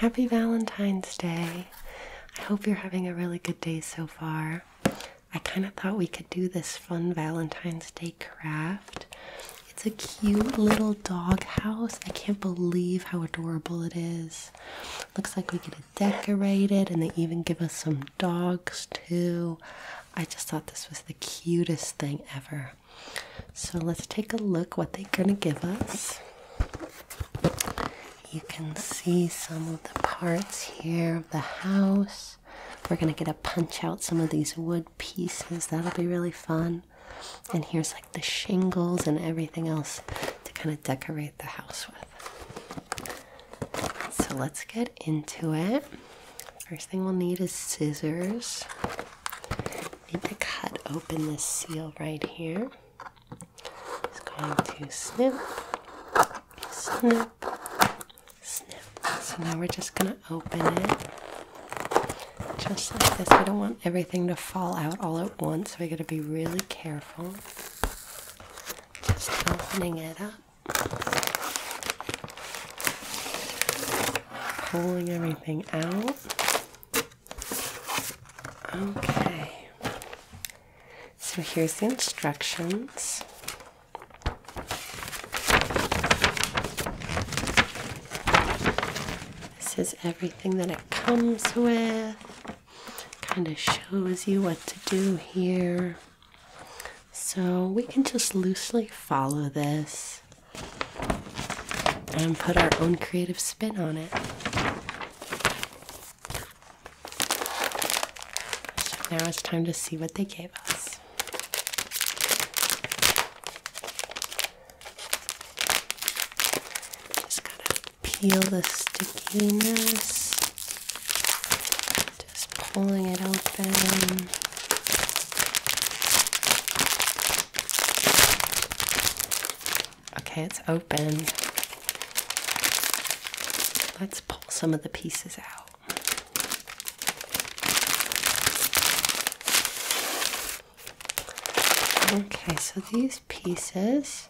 Happy Valentine's Day. I hope you're having a really good day so far. I kind of thought we could do this fun Valentine's Day craft. It's a cute little dog house. I can't believe how adorable it is. Looks like we get it decorated and they even give us some dogs too. I just thought this was the cutest thing ever. So let's take a look what they're going to give us. You can see some of the parts here of the house. We're going to get to punch out some of these wood pieces. That'll be really fun. And here's like the shingles and everything else to kind of decorate the house with. So let's get into it. First thing we'll need is scissors. I need to cut open this seal right here. It's going to snip, snip, snip. So now we're just going to open it just like this. We don't want everything to fall out all at once, so we got to be really careful. Just opening it up. Pulling everything out. Okay, so here's the instructions. This is everything that it comes with. Kind of shows you what to do here. So we can just loosely follow this and put our own creative spin on it. now it's time to see what they gave us. Just gotta peel the stickiness. Just pulling it open. Okay, it's open. Let's pull some of the pieces out. Okay, so these pieces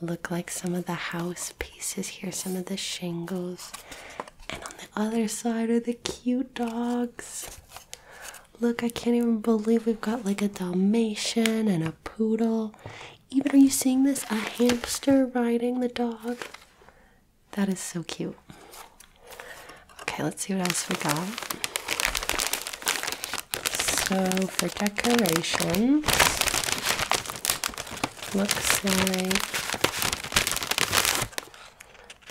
look like some of the house pieces here, some of the shingles. And on the other side are the cute dogs. Look, I can't even believe we've got like a Dalmatian and a poodle. Even are you seeing this? A hamster riding the dog. That is so cute. Okay, let's see what else we got. So for decorations, looks like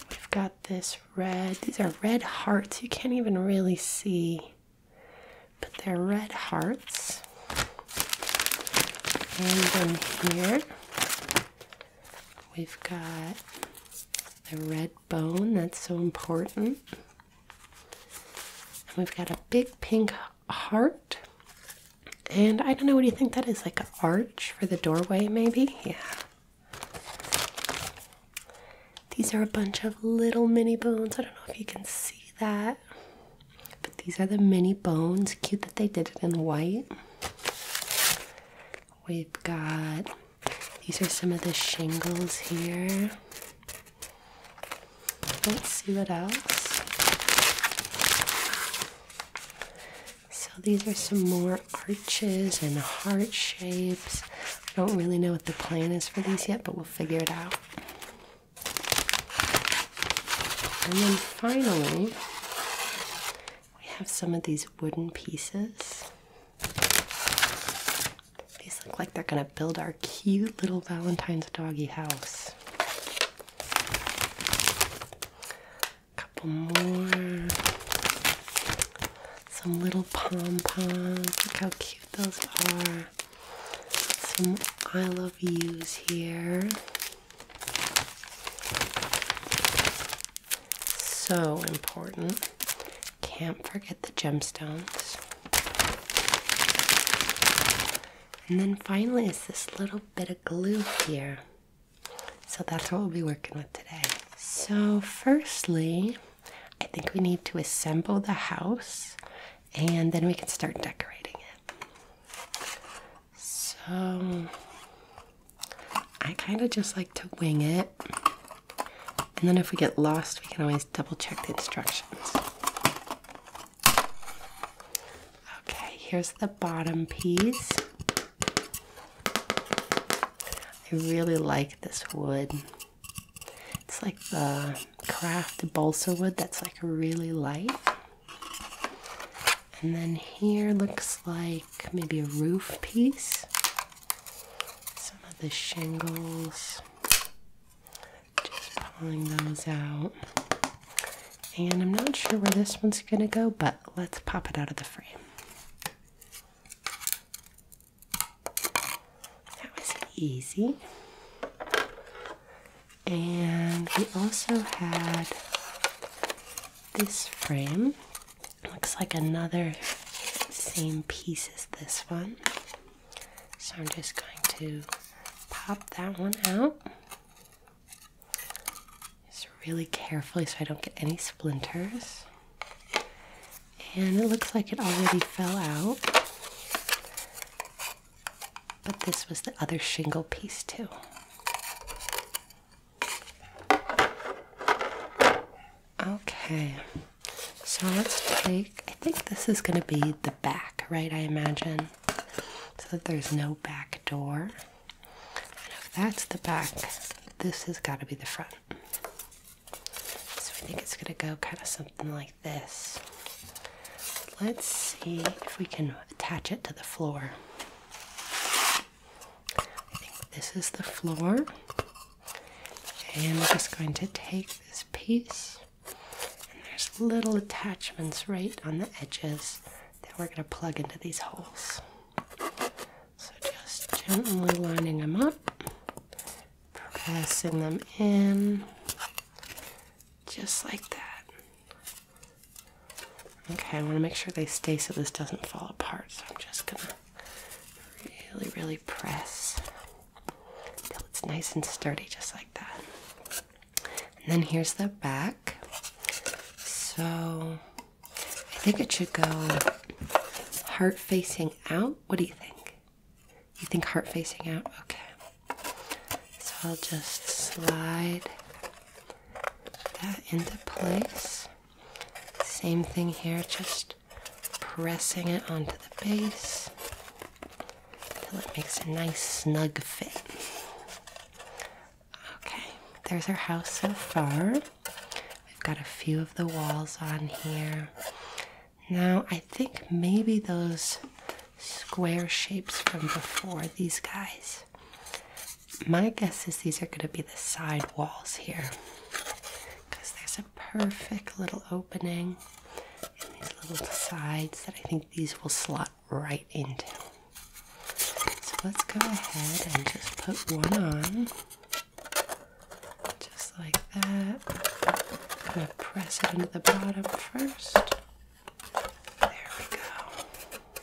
we've got this red. These are red hearts. You can't even really see but they're red hearts. And in here we've got the red bone that's so important. And we've got a big pink heart. And I don't know, what do you think that is? Like an arch for the doorway, maybe? Yeah. These are a bunch of little mini bones. I don't know if you can see that. But these are the mini bones. Cute that they did it in white. We've got these are some of the shingles here. Let's see what else. So these are some more arches and heart shapes. I don't really know what the plan is for these yet, but we'll figure it out. And then finally, we have some of these wooden pieces. These look like they're gonna build our cute little Valentine's doggy house. A couple more. Some little pom poms. Look how cute those are. Some I love yous here. So important. Can't forget the gemstones. And then finally, is this little bit of glue here. So that's what we'll be working with today. So, firstly, I think we need to assemble the house and then we can start decorating it. So I kind of just like to wing it. And then if we get lost, we can always double check the instructions. Okay, here's the bottom piece. I really like this wood. It's like the craft balsa wood that's like really light. And then here looks like maybe a roof piece. Some of the shingles. Just pulling those out. And I'm not sure where this one's gonna go, but let's pop it out of the frame. That was easy. And we also had this frame. Looks like another same piece as this one. So I'm just going to pop that one out. Just really carefully so I don't get any splinters and it looks like it already fell out. But this was the other shingle piece, too. Okay, so let's take, I think this is going to be the back, right? I imagine. So that there's no back door. if that's the back, this has got to be the front. So I think it's going to go kind of something like this. Let's see if we can attach it to the floor. I think this is the floor. And we're just going to take this piece, and there's little attachments right on the edges that we're going to plug into these holes. So just gently lining them up pressing them in just like that. Okay, I want to make sure they stay so this doesn't fall apart, so I'm just gonna really, really press until it's nice and sturdy, just like that. And then here's the back. So I think it should go heart facing out. What do you think? You think heart facing out? Okay. So I'll just slide that into place. Same thing here, just pressing it onto the base until it makes a nice snug fit. Okay, there's our house so far. We've got a few of the walls on here. Now, I think maybe those square shapes from before, these guys, my guess is these are going to be the side walls here because there's a perfect little opening in these little sides that I think these will slot right into. So let's go ahead and just put one on. Just like that. I'm going to press it into the bottom first. There we go.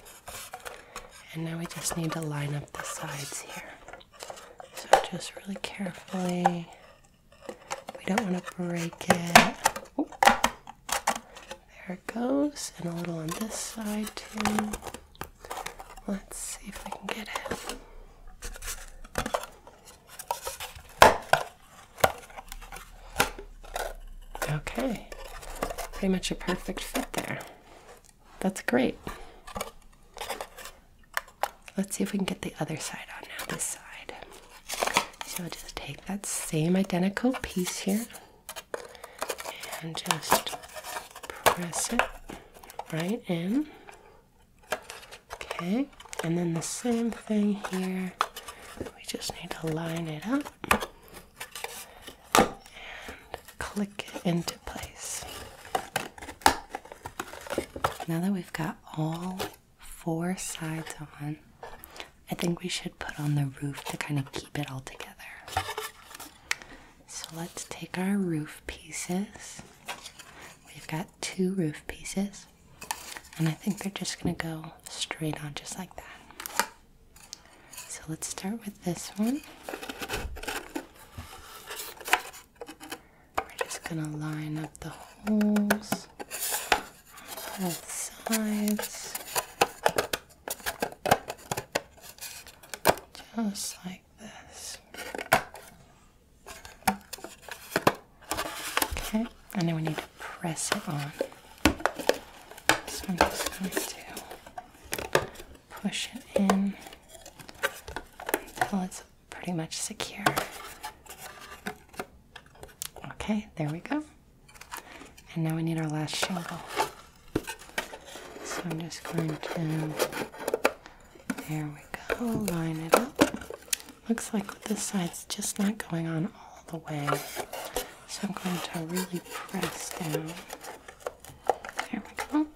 And now we just need to line up the sides here. So just really carefully. We don't want to break it. There it goes. And a little on this side too. Let's see if we can get it. Okay, pretty much a perfect fit there. That's great. Let's see if we can get the other side on now, this side. So I'll just take that same identical piece here and just press it right in. Okay, and then the same thing here. We just need to line it up and click it into place. Now that we've got all four sides on, I think we should put on the roof to kind of keep it all together. So let's take our roof pieces. We've got two roof pieces. And I think they're just going to go straight on just like that. So let's start with this one. We're just going to line up the holes on both sides. Just like this. Okay, and then we need to press it on. So I'm just going to push it in until it's pretty much secure. Okay, there we go. And now we need our last shingle. So I'm just going to there we go. Line it up. Looks like this side's just not going on all the way. So I'm going to really press down. There we go.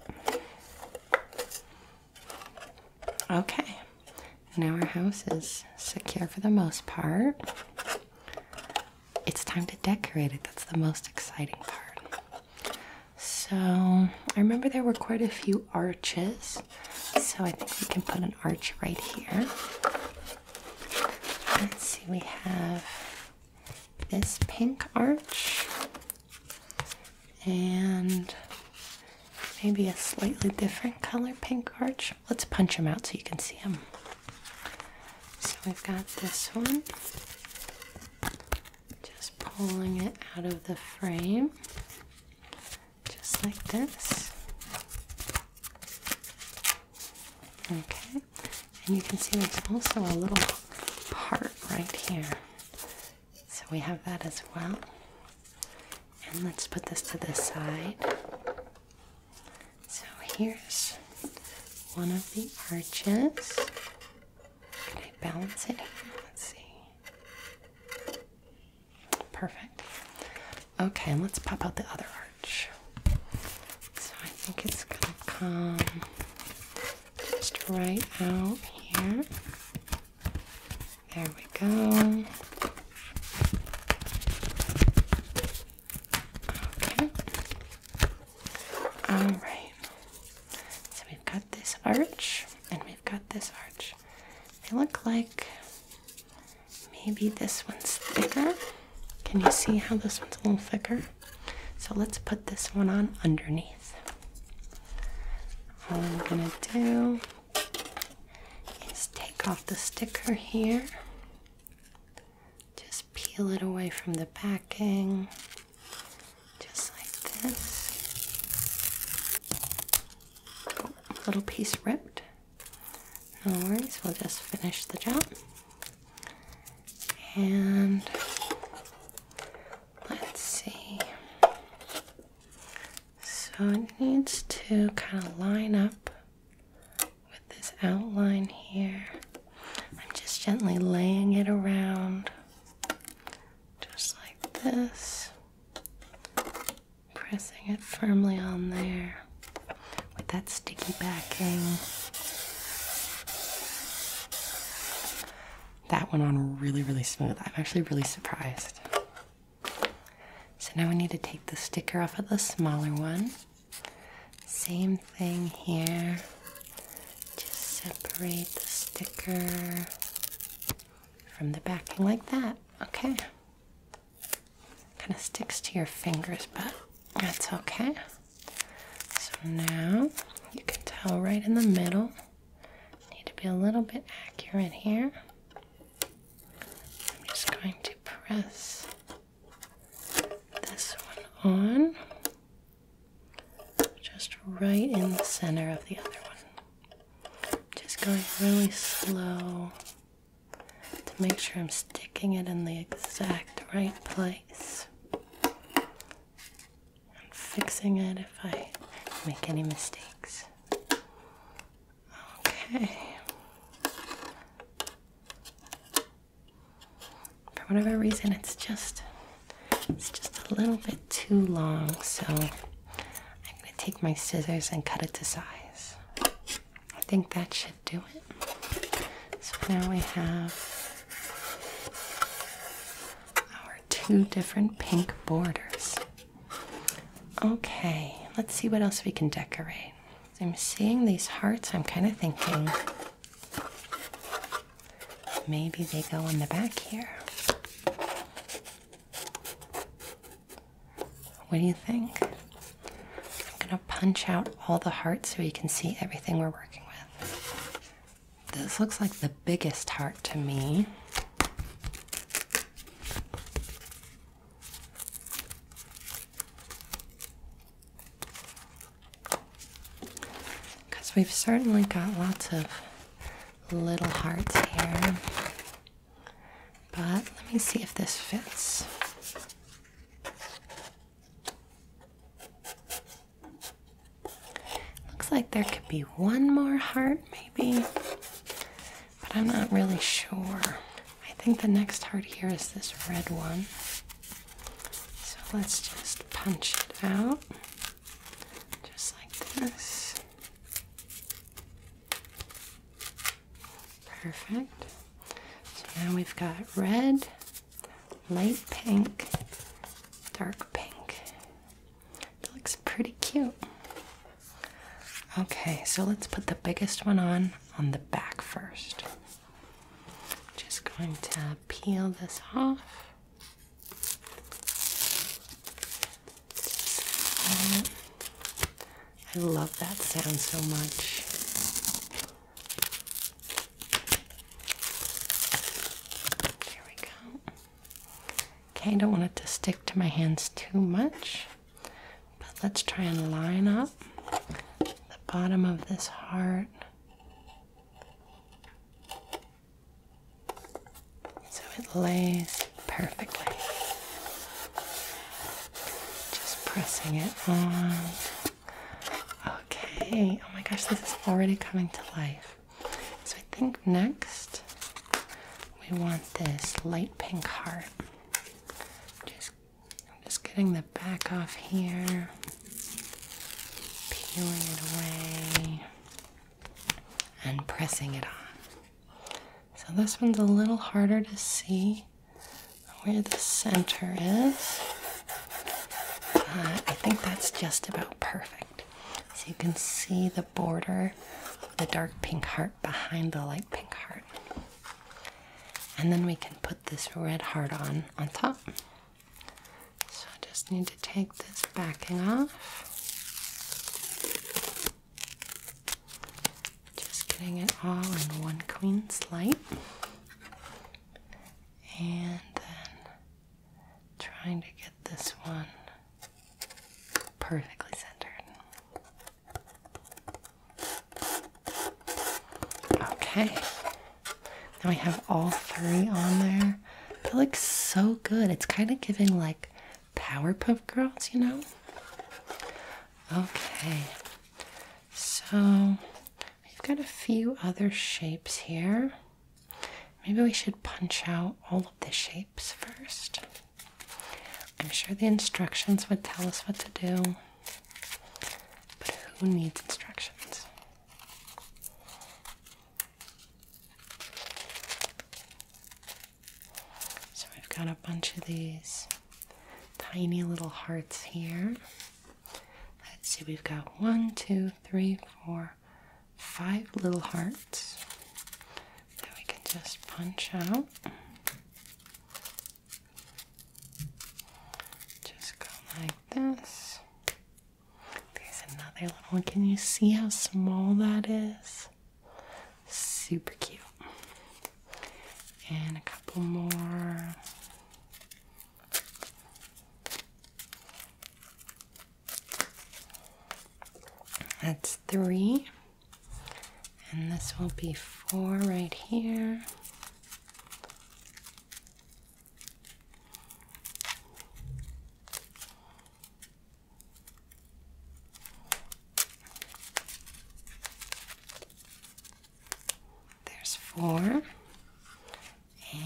Okay. Now our house is secure for the most part. It's time to decorate it. That's the most exciting part. So I remember there were quite a few arches so I think we can put an arch right here. Let's see, we have this pink arch and maybe a slightly different color pink arch. Let's punch them out so you can see them. So we've got this one. Just pulling it out of the frame just like this. Okay, and you can see there's also a little part right here. So we have that as well. And let's put this to the side. So here's one of the arches. Can I balance it here? Let's see. Perfect. Okay, let's pop out the other arch. So I think it's gonna come just right out here. There we go. Okay. All right. So we've got this arch and we've got this arch. They look like maybe this one's thicker. Can you see how this one's a little thicker? So let's put this one on underneath. All I'm gonna do is take off the sticker here. Just peel it away from the backing, just like this little piece ripped. No worries, we'll just finish the job. And let's see. So it needs to kind of line up with this outline here. I'm just gently laying it around just like this pressing it firmly on there with that sticky backing. That went on really, really smooth. I'm actually really surprised. So now we need to take the sticker off of the smaller one. Same thing here. Just separate the sticker from the backing like that okay. Kind of sticks to your fingers, but that's okay. So now you can tell right in the middle. Need to be a little bit accurate here. I'm just going to press this one on, just right in the center of the other one. Just going really slow to make sure I'm sticking it in the exact right place. i fixing it if I make any mistakes. Okay. For whatever reason, it's just it's just a little bit too long, so I'm going to take my scissors and cut it to size. I think that should do it. So now we have our two different pink borders. Okay, let's see what else we can decorate. I'm seeing these hearts, I'm kind of thinking maybe they go on the back here. What do you think? I'm gonna punch out all the hearts so you can see everything we're working with. This looks like the biggest heart to me. Because we've certainly got lots of little hearts here. But let me see if this fits. Looks like there could be one more heart, maybe, but I'm not really sure. I think the next heart here is this red one. So let's just punch it out, just like this. Perfect. So now we've got red, light pink, dark pink. It looks pretty cute. Okay, so let's put the biggest one on on the back first. Just going to peel this off. I love that sound so much. There we go. Okay, I don't want it to stick to my hands too much, but let's try and line up the bottom of this heart so it lays perfectly. Just pressing it on. Okay, oh my gosh, this is already coming to life. So I think next we want this light pink heart. Just, just getting the back off here, peeling it away and pressing it on. So this one's a little harder to see where the center is. Uh, I think that's just about perfect. So you can see the border, the dark pink heart behind the light pink heart. And then we can put this red heart on on top. So I just need to take this backing off. Just getting it all in one queen's light, And then trying to get this one perfectly centered. Okay. Now we have all three on there. That looks so good. It's kind of giving like Powerpuff Girls, you know? Okay, so we've got a few other shapes here. Maybe we should punch out all of the shapes first. I'm sure the instructions would tell us what to do, but who needs instructions? So we've got a bunch of these tiny little hearts here. Let's see, we've got one, two, three, four, five little hearts that we can just punch out. Just go like this. There's another little one. Can you see how small that is? Super cute. And a couple more. That's three. And this will be four right here. There's four.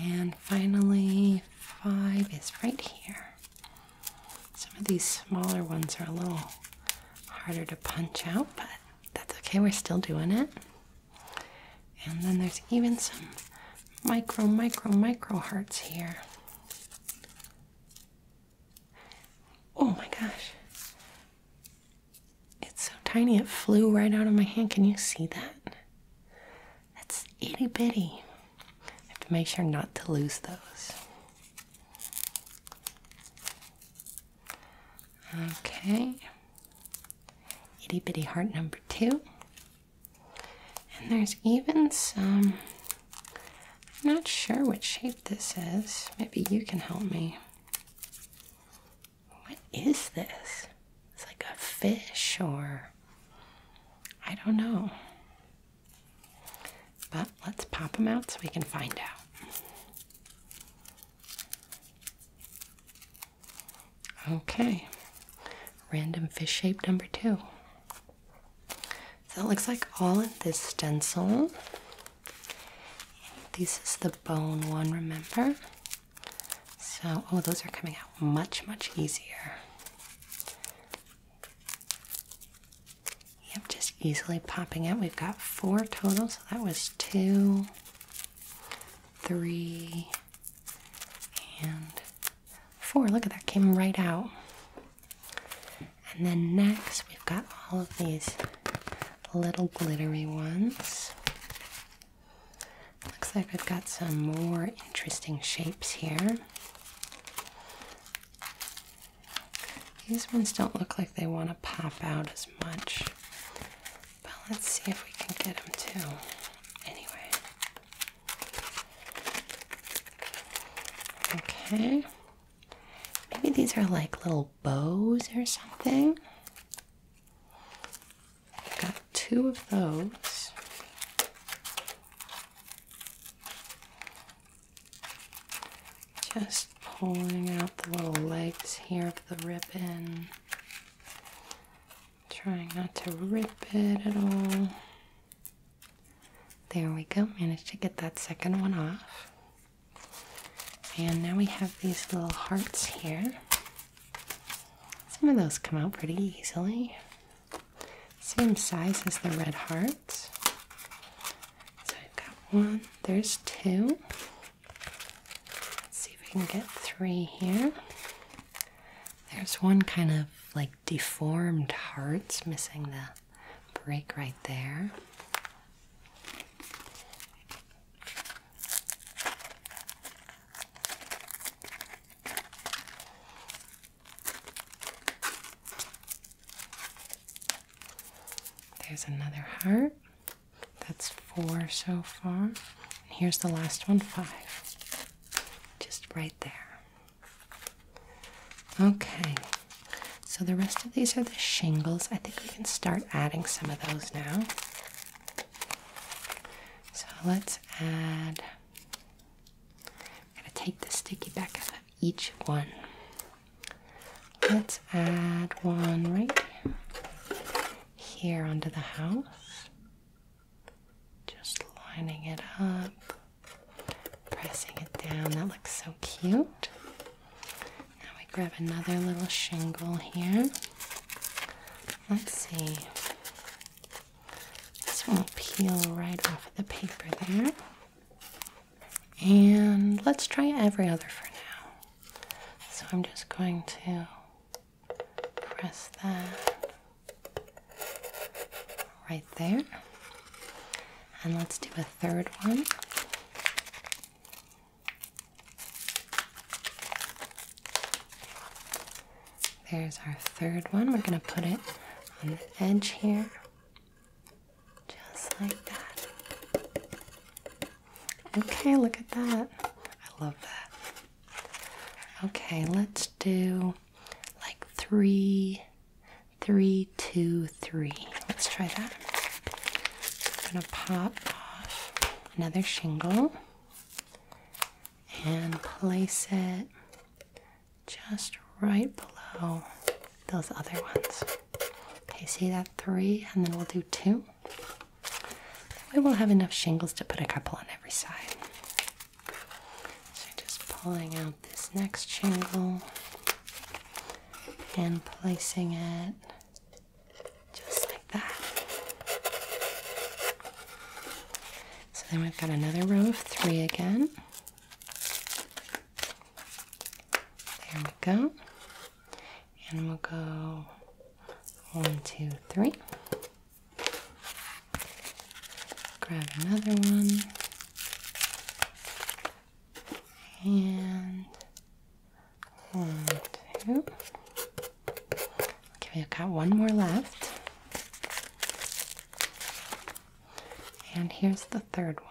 And finally, five is right here. Some of these smaller ones are a little harder to punch out, but that's okay, we're still doing it. And then there's even some micro, micro, micro hearts here. Oh my gosh. It's so tiny it flew right out of my hand. Can you see that? That's itty bitty. I have to make sure not to lose those. Okay. Itty bitty heart number two. And there's even some I'm not sure what shape this is. Maybe you can help me. What is this? It's like a fish or I don't know. But let's pop them out so we can find out. Okay, random fish shape number two. So it looks like all of this stencil. This is the bone one, remember? So, oh, those are coming out much, much easier. Yep, just easily popping out. We've got four total, so that was two, three, and four. Look at that, came right out. And then next, we've got all of these little glittery ones. Looks like we've got some more interesting shapes here. These ones don't look like they want to pop out as much. But let's see if we can get them to. Anyway. Okay. Maybe these are like little bows or something. I've got two of those. Just pulling out the little legs here of the ribbon. Trying not to rip it at all. There we go, managed to get that second one off. And now we have these little hearts here. Some of those come out pretty easily. Same size as the red hearts. So I've got one, there's two. Let's see if we can get three here. There's one kind of like deformed hearts missing the break right there. There's another heart. That's four so far. And here's the last one, five. Just right there. Okay, so the rest of these are the shingles. I think we can start adding some of those now. So let's add. I'm going to take the sticky back of each one. Let's add one right here onto the house. Just lining it up. Pressing it down. That looks so cute. Now we grab another little shingle here. Let's see. This one will peel right off the paper there. And let's try every other for now. So I'm just going to press that right there. And let's do a third one. There's our third one. We're going to put it on the edge here, just like that. Okay, look at that. I love that. Okay, let's do like three three, two, three. Let's try that. I'm going to pop off another shingle and place it just right below those other ones. Okay, see that three, and then we'll do two. we'll have enough shingles to put a couple on every side. So just pulling out this next shingle and placing it just like that. So then we've got another row of three again. There we go. And we'll go one, two, three. Grab another one and one, two. Okay, we've got one more left. And here's the third one.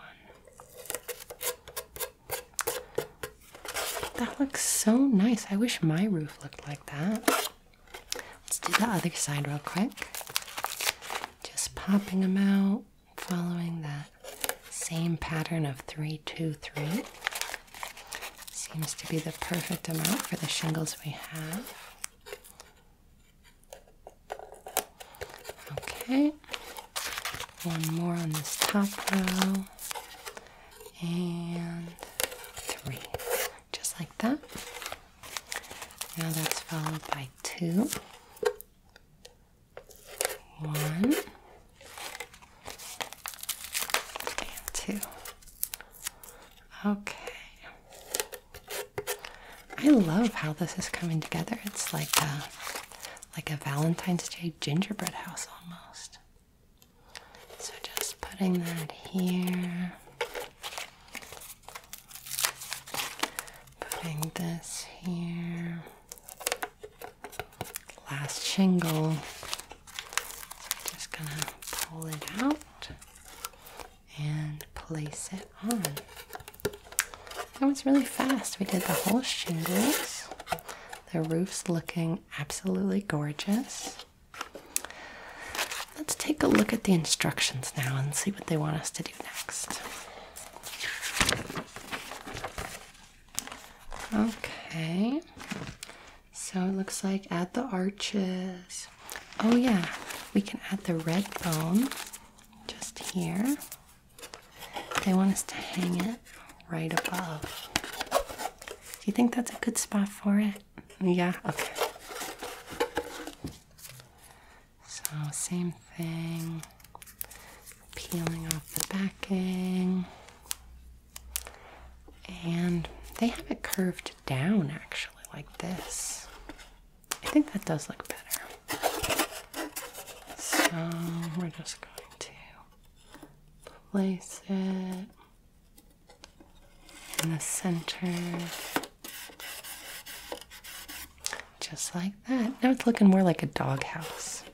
That looks so nice. I wish my roof looked like that. Let's do the other side real quick. Just popping them out following that same pattern of 323 seems to be the perfect amount for the shingles we have okay one more on this top row and three just like that now that's followed by two one and two. Okay. I love how this is coming together. It's like a like a Valentine's Day gingerbread house almost. So just putting that here. Putting this here last shingle. So just gonna pull it out and place it on. That was really fast. We did the whole shingles. The roof's looking absolutely gorgeous. Let's take a look at the instructions now and see what they want us to do next. Okay, so it looks like add the arches. Oh, yeah, we can add the red bone just here. They want us to hang it right above. Do you think that's a good spot for it? Yeah, okay. So, same thing, peeling off the backing. And they have it curved down actually, like this. I think that does look better. So, we're just going to place it in the center. Just like that. Now it's looking more like a doghouse.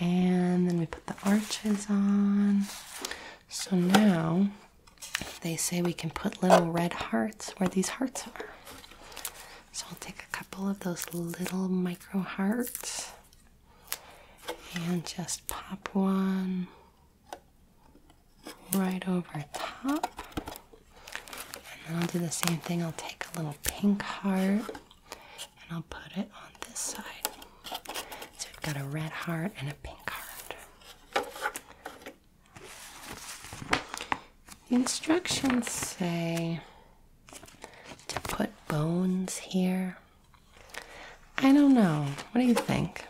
And then we put the arches on. So now they say we can put little red hearts where these hearts are. So I'll take a couple of those little micro hearts and just pop one right over top. And I'll do the same thing. I'll take a little pink heart and I'll put it on this side. So we've got a red heart and a pink heart. instructions say to put bones here. I don't know. What do you think?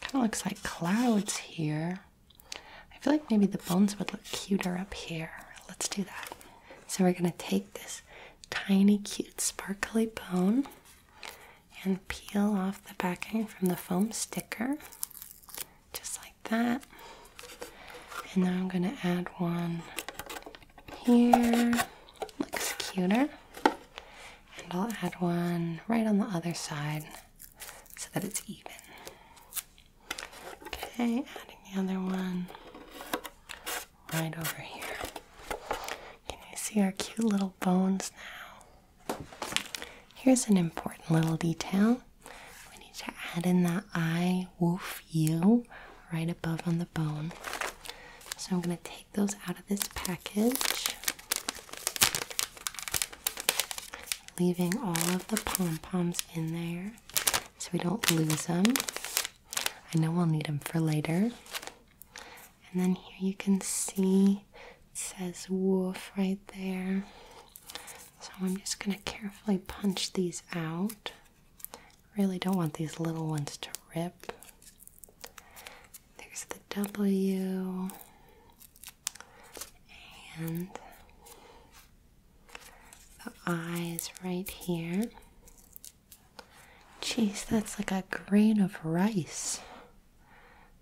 Kind of looks like clouds here. I feel like maybe the bones would look cuter up here. Let's do that. So we're going to take this tiny, cute, sparkly bone and peel off the backing from the foam sticker, just like that. And then I'm going to add one here. Looks cuter. And I'll add one right on the other side so that it's even. Okay, adding the other one right over here. Can you see our cute little bones now? Here's an important little detail. We need to add in that eye, woof you right above on the bone. So I'm going to take those out of this package, leaving all of the pom poms in there so we don't lose them. I know we'll need them for later. And then here you can see it says wolf right there. So I'm just going to carefully punch these out. Really don't want these little ones to rip. There's the W. And the eyes right here. Jeez, that's like a grain of rice.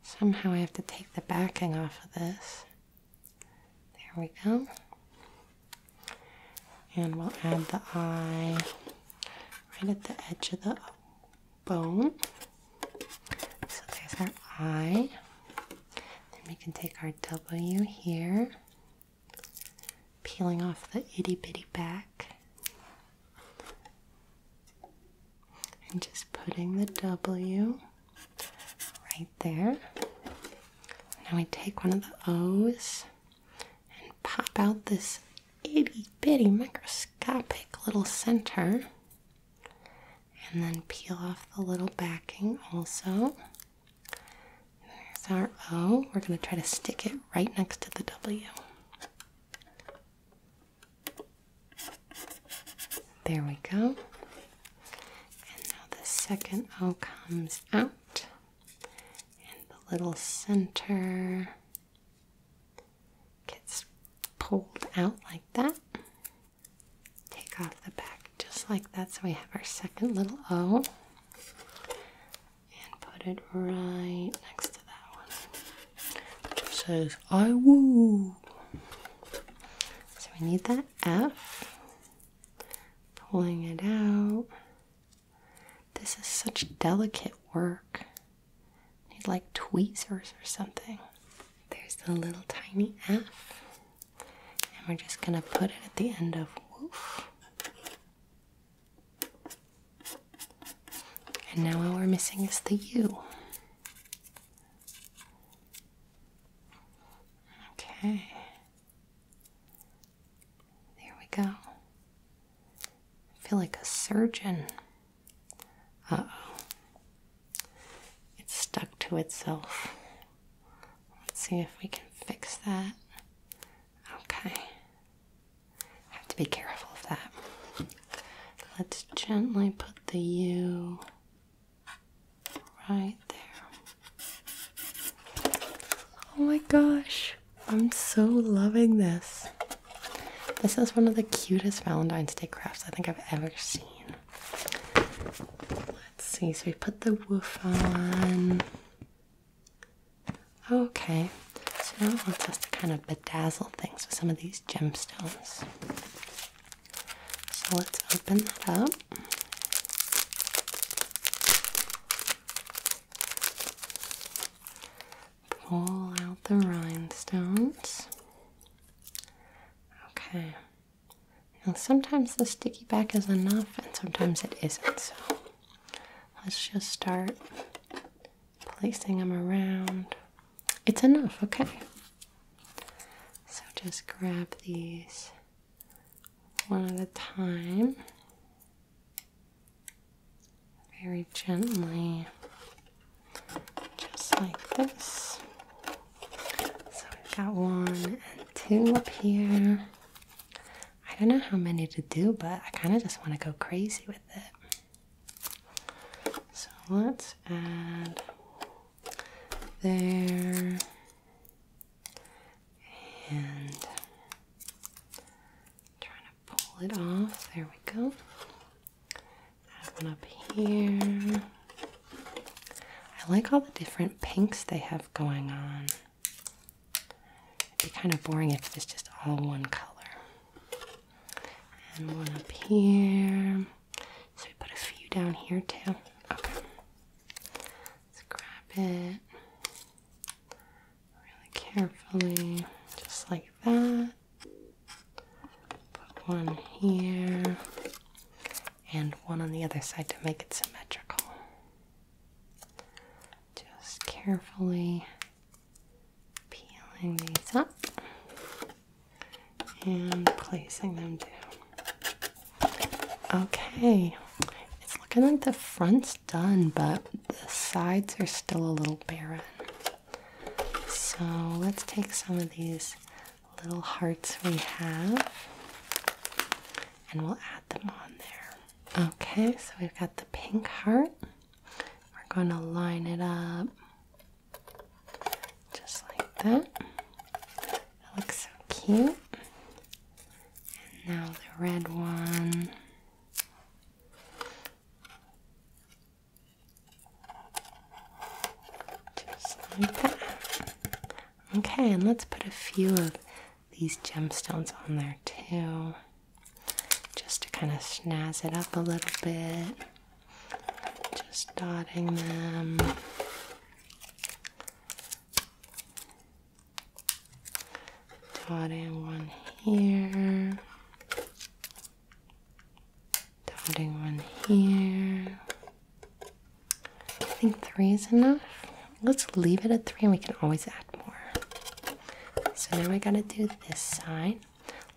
Somehow I have to take the backing off of this. There we go. And we'll add the eye right at the edge of the bone. So there's our eye. Then we can take our W here, peeling off the itty bitty back, and just putting the W right there. Now we take one of the O's and pop out this itty bitty microscopic little center. And then peel off the little backing also. There's our O. We're going to try to stick it right next to the W. There we go. And now the second O comes out, and the little center gets pulled out like that take off the back just like that. So we have our second little O and put it right next to that one. Which says I woo. So we need that F. Pulling it out. This is such delicate work. Need like tweezers or something. There's the little tiny F and we're just gonna put it at the end of woof. And now all we're missing is the U. Okay. There we go. I feel like a surgeon. Uh oh. It's stuck to itself. Let's see if we can fix that. Okay. I have to be careful of that. Let's gently put the U right there. Oh my gosh. I'm so loving this. This is one of the cutest Valentine's Day crafts I think I've ever seen. Let's see, so we put the woofer on. Okay, so now it wants us to kind of bedazzle things with some of these gemstones. So let's open that up. Pull out the rhinestones. Okay, you sometimes the sticky back is enough and sometimes it isn't. So let's just start placing them around. It's enough, okay? So just grab these one at a time very gently, just like this. So we've got one and two up here. I don't know how many to do, but I kind of just want to go crazy with it. So let's add there and trying to pull it off. There we go. That one up here. I like all the different pinks they have going on. It'd be kind of boring if it's just all one color. And one up here. So we put a few down here too. Okay. Let's grab it really carefully, just like that. Put one here and one on the other side to make it symmetrical. Just carefully peeling these up and placing them down. Okay, it's looking like the front's done, but the sides are still a little barren. So let's take some of these little hearts we have, and we'll add them on there. Okay, so we've got the pink heart. We're going to line it up just like that. That looks so cute. And now the red one. Just like that. Okay, and let's put a few of these gemstones on there too, just to kind of snazz it up a little bit. Just dotting them. Dotting one here. Dotting one here. I think three is enough. Let's leave it at three and we can always add more. So now I gotta do this side.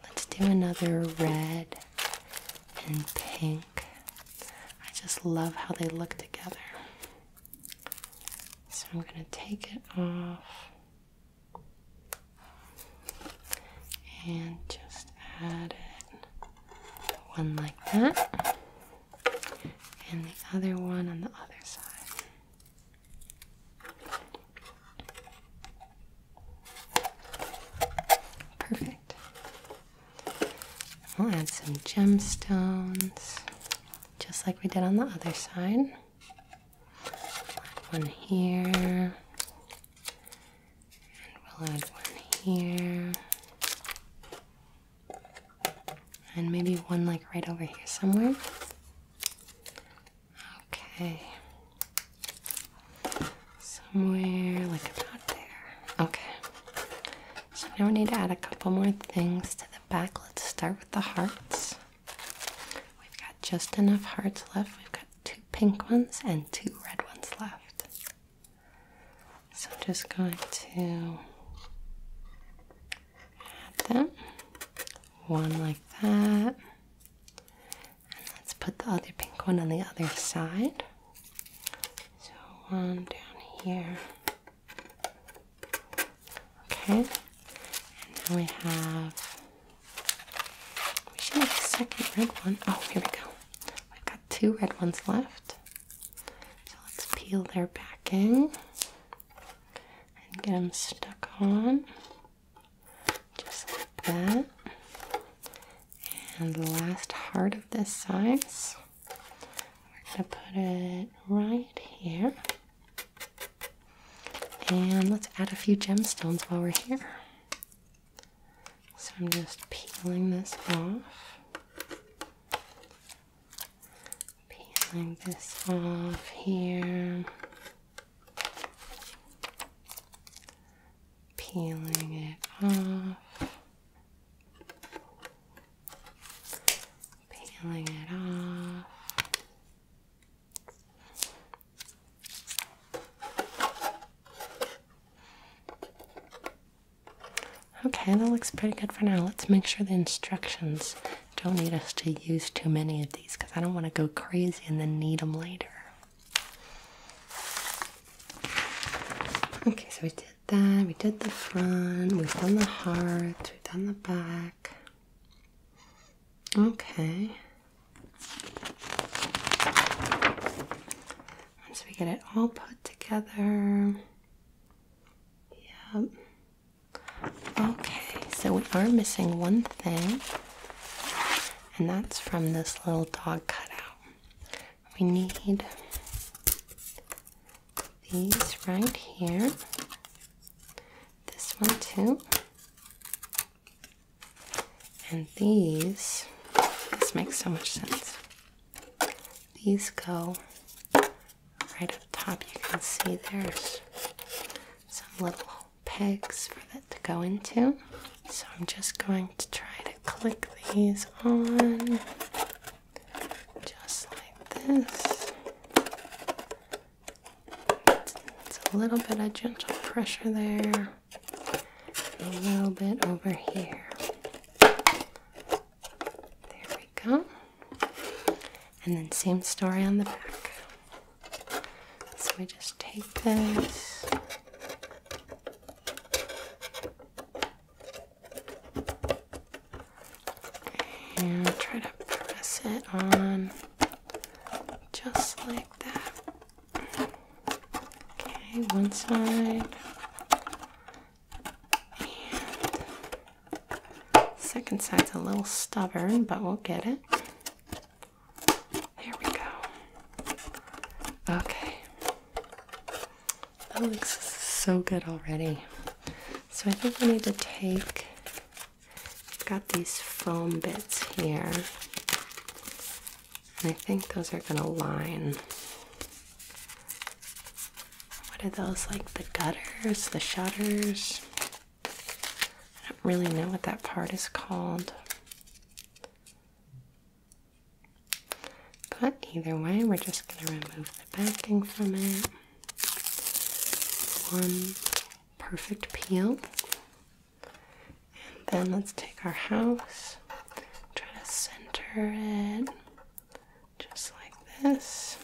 Let's do another red and pink. I just love how they look together. So I'm gonna take it off and just add it one like that and the other one on the other side. Perfect. We'll add some gemstones just like we did on the other side. One here, and we'll add one here, and maybe one like right over here somewhere. Okay. Somewhere like about there. Okay. So now we need to add a couple more things to the back. Let's start with the hearts. We've got just enough hearts left. We've got two pink ones and two red ones left. So I'm just going to add them. One like that. And let's put the other pink one on the other side. So one down here. Okay. And now we have we should make a second red one. Oh, here we go. We've got two red ones left. So let's peel their backing and get them stuck on just like that. And the last heart of this size, we're going to put it right here. And let's add a few gemstones while we're here. So I'm just peeling this off. Peeling this off here. Peeling it off. Peeling it off. Okay, that looks pretty good for now. Let's make sure the instructions don't need us to use too many of these because I don't want to go crazy and then need them later. Okay, so we did that. We did the front. We've done the heart. We've done the back. Okay. Once we get it all put together, Yep. Okay, so we are missing one thing, and that's from this little dog cutout. We need these right here, this one too, and these. This makes so much sense. These go right up top. You can see there's some little pegs for that to go into. So I'm just going to try to click these on just like this. It's a little bit of gentle pressure there, a little bit over here. There we go. And then same story on the back. So we just take this. And try to press it on just like that. Okay, one side second side's a little stubborn, but we'll get it. There we go. Okay. That looks so good already. So I think I need to take got these foam bits here. And I think those are going to line what are those like? The gutters, the shutters? I don't really know what that part is called. But either way, we're just going to remove the backing from it. One perfect peel. And then let's take our house, try to center it just like this,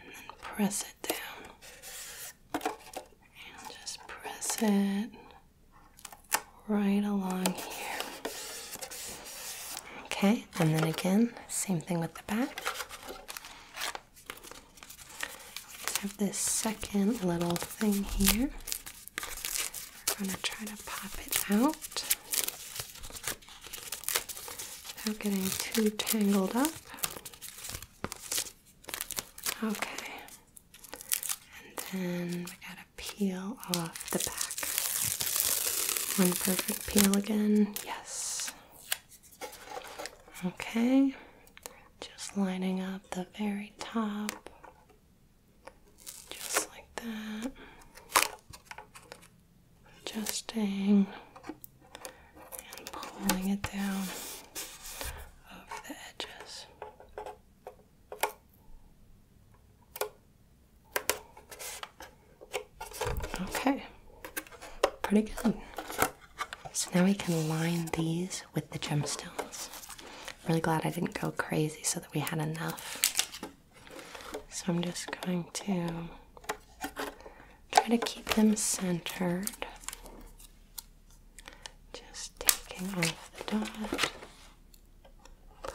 and then press it down, and just press it right along here. Okay, and then again, same thing with the back. have this second little thing here. I'm going to try to pop it out. Without getting too tangled up. Okay. And then we gotta peel off the back. One perfect peel again. Yes. Okay. Just lining up the very top. Just like that adjusting and pulling it down over the edges. Okay, pretty good. So now we can line these with the gemstones. really glad I didn't go crazy so that we had enough. So I'm just going to try to keep them centered. Just taking off the dot,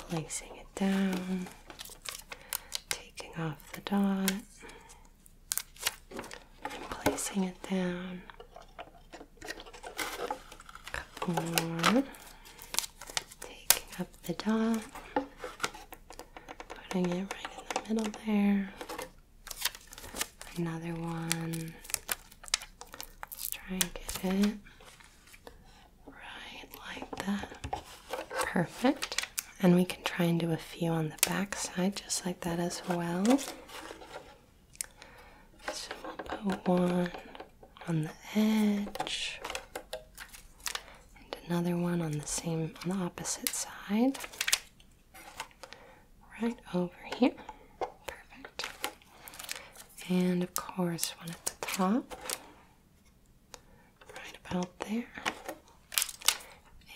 placing it down, taking off the dot, placing it down. A Taking up the dot, putting it right in the middle there. Another one. Let's try and get it right like that. Perfect. And we can try and do a few on the back side just like that as well. So we'll put one on the edge and another one on the same on the opposite side right over here perfect and of course one at the top right about there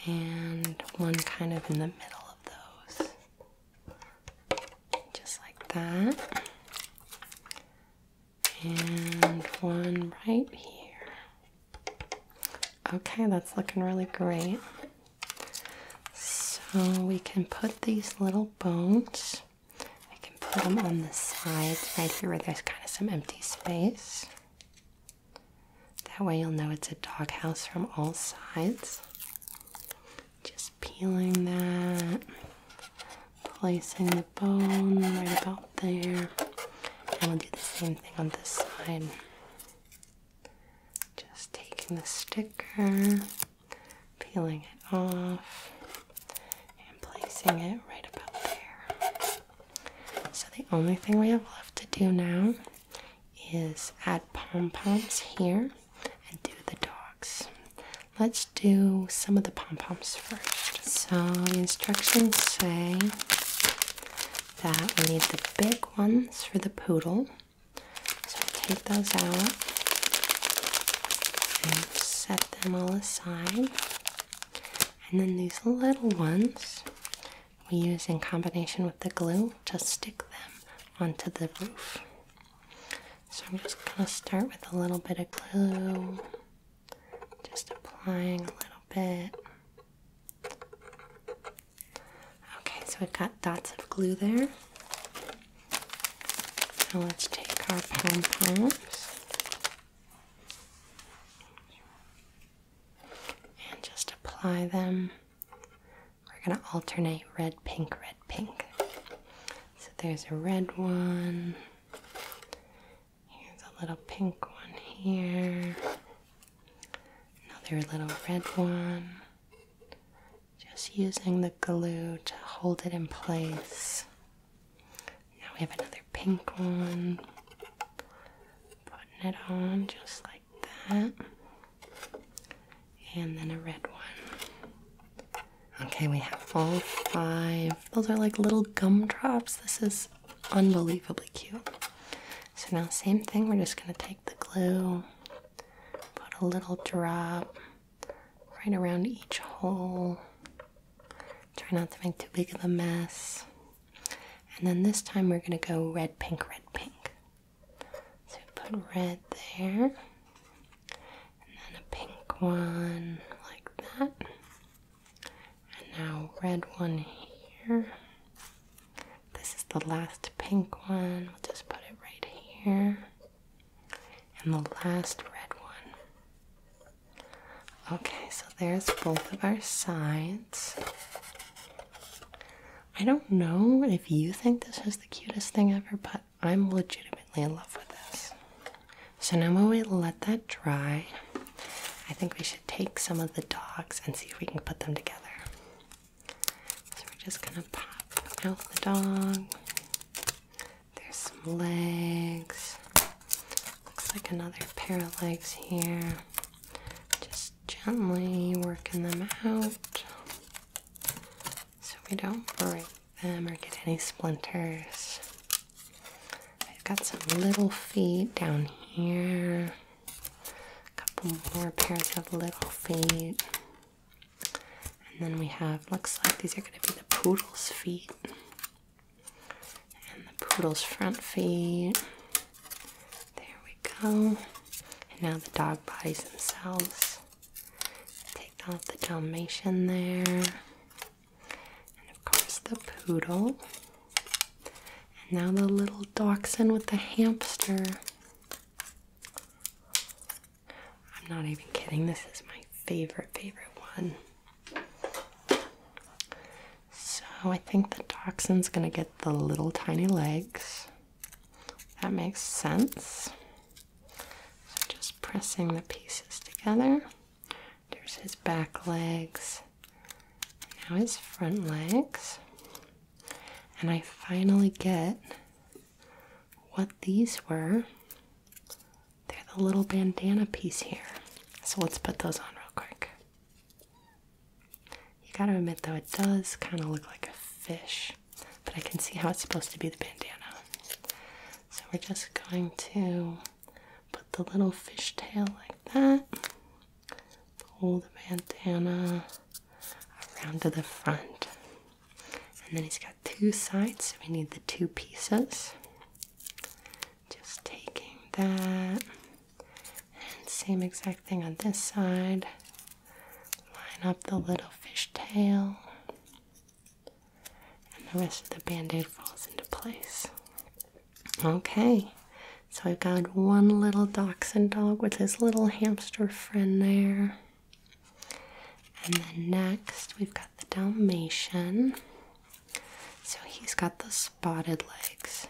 and one kind of in the middle of those just like that and one right here. Okay, that's looking really great. So we can put these little bones, I can put them on the sides right here where there's kind of some empty space. That way you'll know it's a doghouse from all sides. Just peeling that placing the bone right about there. And we'll do the same thing on this side. Just taking the sticker, peeling it off, and placing it right about there. So the only thing we have left to do now is add pom poms here and do the dogs. Let's do some of the pom poms so the instructions say that we need the big ones for the poodle. So I take those out and set them all aside. And then these little ones we use in combination with the glue to stick them onto the roof. So I'm just going to start with a little bit of glue. Just applying a little bit. Okay, so we've got dots of glue there. Now let's take our pom poms and just apply them. We're going to alternate red, pink, red, pink. So there's a red one Here's a little pink one here. Another little red one. Just using the glue to hold it in place. Now we have another pink one. Putting it on just like that. And then a red one. Okay, we have four, five those are like little gumdrops. This is unbelievably cute. So now same thing, we're just gonna take the glue, put a little drop right around each hole. Try not to make too big of a mess. And then this time we're gonna go red, pink, red, pink. So put red there, and then a pink one like that. And now red one here. This is the last pink one. We'll just put it right here. And the last red one. Okay, so there's both of our sides. I don't know if you think this is the cutest thing ever, but I'm legitimately in love with this. So now when we let that dry, I think we should take some of the dogs and see if we can put them together. So we're just gonna pop out the dog. There's some legs. Looks like another pair of legs here. Just gently working them out so we don't break them or get any splinters. I've got some little feet down here. A couple more pairs of little feet. And then we have, looks like these are going to be the poodle's feet. And the poodle's front feet. There we go. And now the dog bodies themselves. Take off the Dalmatian there. And of course, the poodle. And now the little dachshund with the hamster. I'm not even kidding, this is my favorite, favorite one. So I think the dachshund's gonna get the little tiny legs. That makes sense. just pressing the pieces together. There's his back legs. Now his front legs. And I finally get what these were. They're the little bandana piece here. So let's put those on real quick. You gotta admit though, it does kind of look like a fish, but I can see how it's supposed to be the bandana. So we're just going to Put the little fishtail like that. Pull the bandana around to the front. And then he's got two sides, so we need the two pieces. Just taking that. And same exact thing on this side. Line up the little fishtail and the rest of the band-aid falls into place. Okay, so I've got one little dachshund dog with his little hamster friend there. And then next we've got the Dalmatian. So he's got the spotted legs.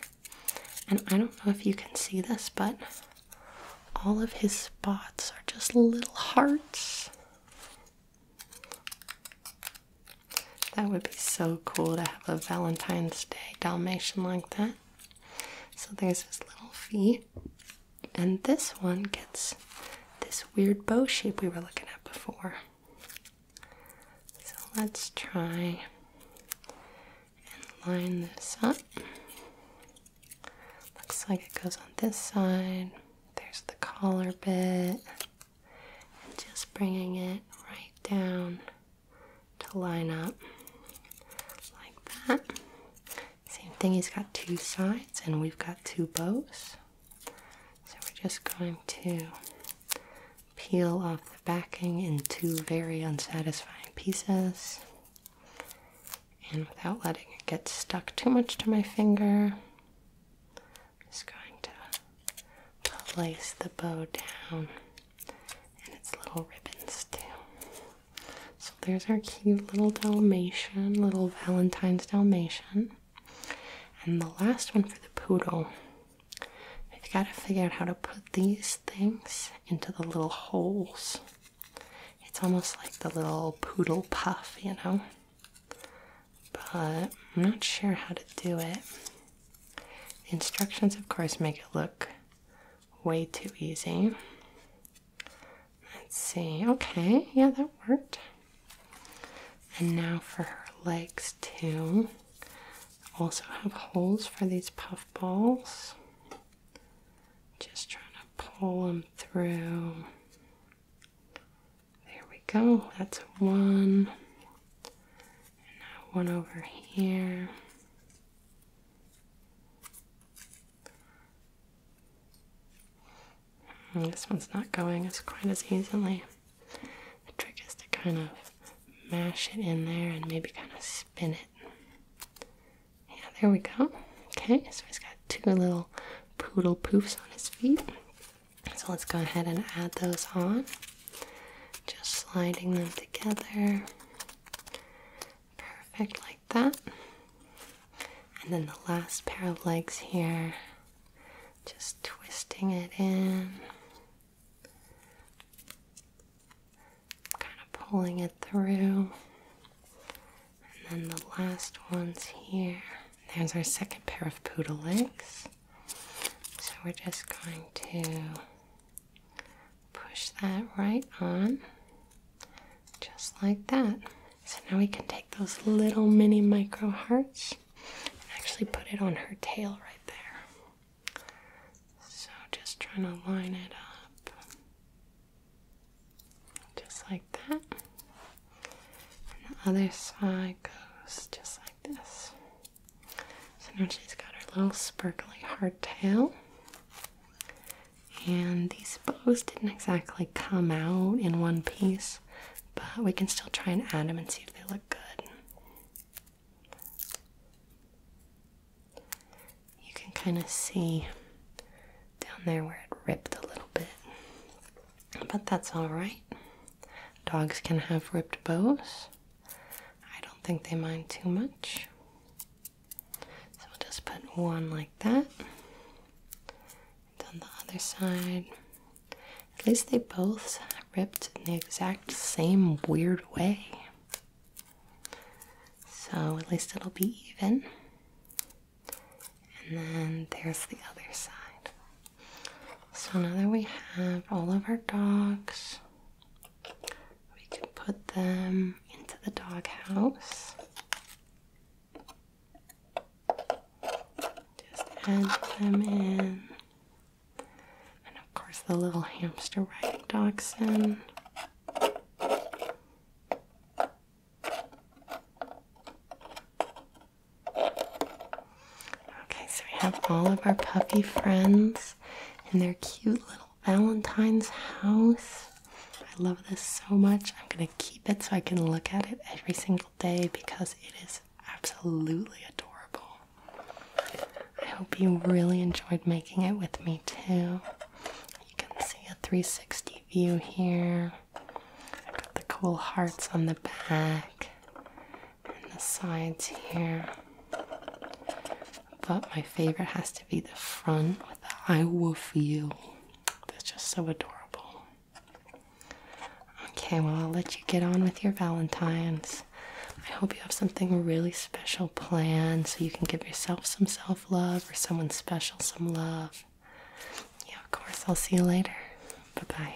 And I don't know if you can see this, but all of his spots are just little hearts. That would be so cool to have a Valentine's Day Dalmatian like that. So there's his little feet. And this one gets this weird bow shape we were looking at before. So let's try and line this up. Looks like it goes on this side. There's the collar bit and just bringing it right down to line up like that. Same thing, he's got two sides and we've got two bows. So we're just going to peel off the backing in two very unsatisfying pieces. And without letting it get stuck too much to my finger, just going to place the bow down and its little ribbons too. So there's our cute little Dalmatian, little Valentine's Dalmatian. And the last one for the poodle. We've got to figure out how to put these things into the little holes. It's almost like the little poodle puff, you know? but I'm not sure how to do it. The instructions, of course, make it look way too easy. Let's see. Okay, yeah, that worked. And now for her legs, too. Also have holes for these puff balls. Just trying to pull them through. There we go. That's one. And now one over here. this one's not going as quite as easily. The trick is to kind of mash it in there and maybe kind of spin it. Yeah, there we go. Okay, so he's got two little poodle poofs on his feet. So let's go ahead and add those on. Just sliding them together. Perfect, like that. And then the last pair of legs here, just twisting it in. Kind of pulling it through. And then the last ones here. There's our second pair of poodle legs. So we're just going to push that right on, just like that. So now we can take those little mini micro hearts and actually put it on her tail right there. So just trying to line it up, just like that. the other side goes just like this. So now she's got her little sparkly tail, And these bows didn't exactly come out in one piece, but we can still try and add them and see if they look good. You can kind of see down there where it ripped a little bit but that's alright. Dogs can have ripped bows. I don't think they mind too much. So we'll just put one like that. on the other side. At least they both ripped in the exact same weird way. So at least it'll be even. And then there's the other side. So now that we have all of our dogs, we can put them into the doghouse. Just add them in. And of course, the little hamster riding dachshund. Okay, so we have all of our puppy friends in their cute little Valentine's house. I love this so much. I'm gonna keep it so I can look at it every single day because it is absolutely adorable. I hope you really enjoyed making it with me too. You can see a 360 view here. I've got the cool hearts on the back and the sides here. But my favorite has to be the front with the I woof you. That's just so adorable. Okay, well, I'll let you get on with your Valentine's. I hope you have something really special planned so you can give yourself some self love or someone special some love. Yeah, of course. I'll see you later. Bye bye.